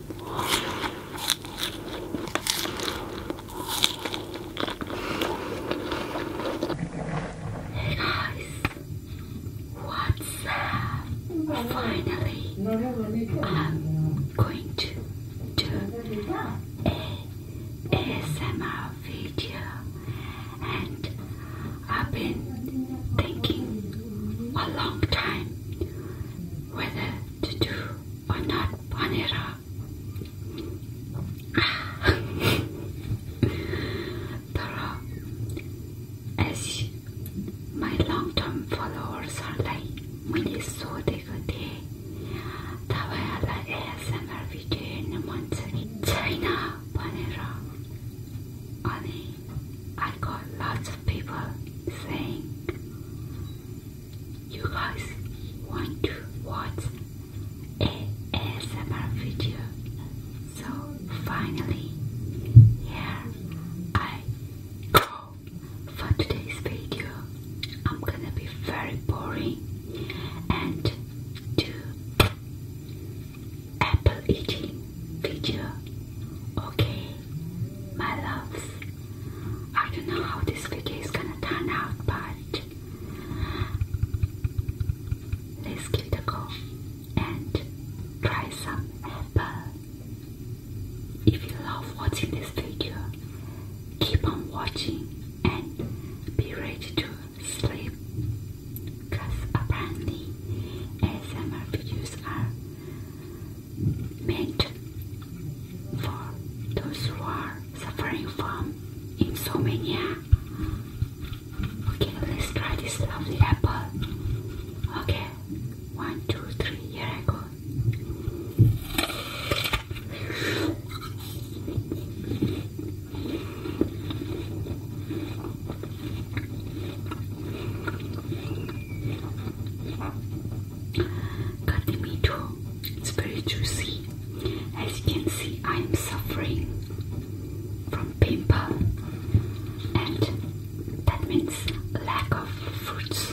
guys, what's up? Finally, I'm going to do a ASMR video, and I've been thinking a long time whether to do or not panera. Tara, uh, as my long-term followers are like, day, that I Minnesota, Tawala ASMR video in China panera. Ani I got lots of people saying, You guys want to watch a ASMR video. So finally, here I go for today's video. I'm gonna be very boring and do apple eating creature. Okay, my loves. I don't know how this video is gonna turn out, but let's give it a go and try some apple. If you love watching this video, keep on watching and be ready to sleep because apparently ASMR videos are meant for those who are suffering from insomnia. Okay, let's try this lovely apple. Okay, one, two, three, here I go. Carnimito, it's very juicy. As you can see, I am suffering from pimple, and that means lack of fruits.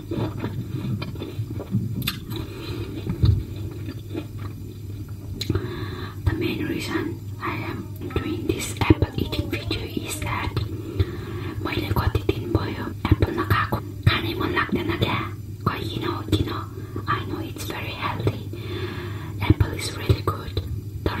The main reason I am doing this apple eating video is that मैले कति दिन भयो Apple नखाएको खानै मन लाग्दैन क्या किन हो किन I know it's very healthy apple is really good तर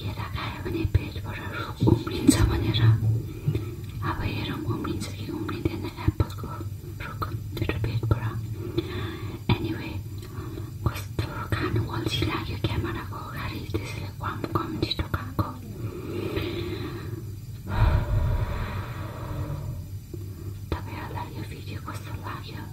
ये भने पेजबाट उम्रिन्छ भनेर अब हेरौँ उम्रिन्छ कि उम्रिँदैन एप्पलको रुख मेरो पेजबाट एनिवे कस्तो खानु अल्छी लाग्यो क्यामेराको अगाडि त्यसैले कम कम छिटो खाएको तपाईँहरूलाई यो भिडियो कस्तो लाग्यो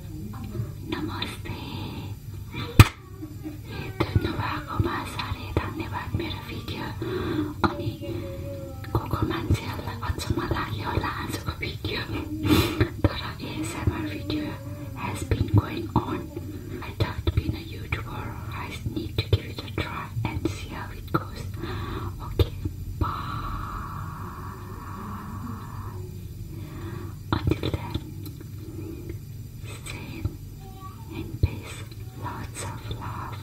नमस्ते भएको मा साह्रै धन्यवाद मेरो भिडियो अनि को को मान्छेहरूलाई अचम्म लाग्यो होला आजको भिडियो तर ASMR video has been going on I that been a YouTuber I need to give it a try and see how it goes okay bye until then, stay in peace, lots of love.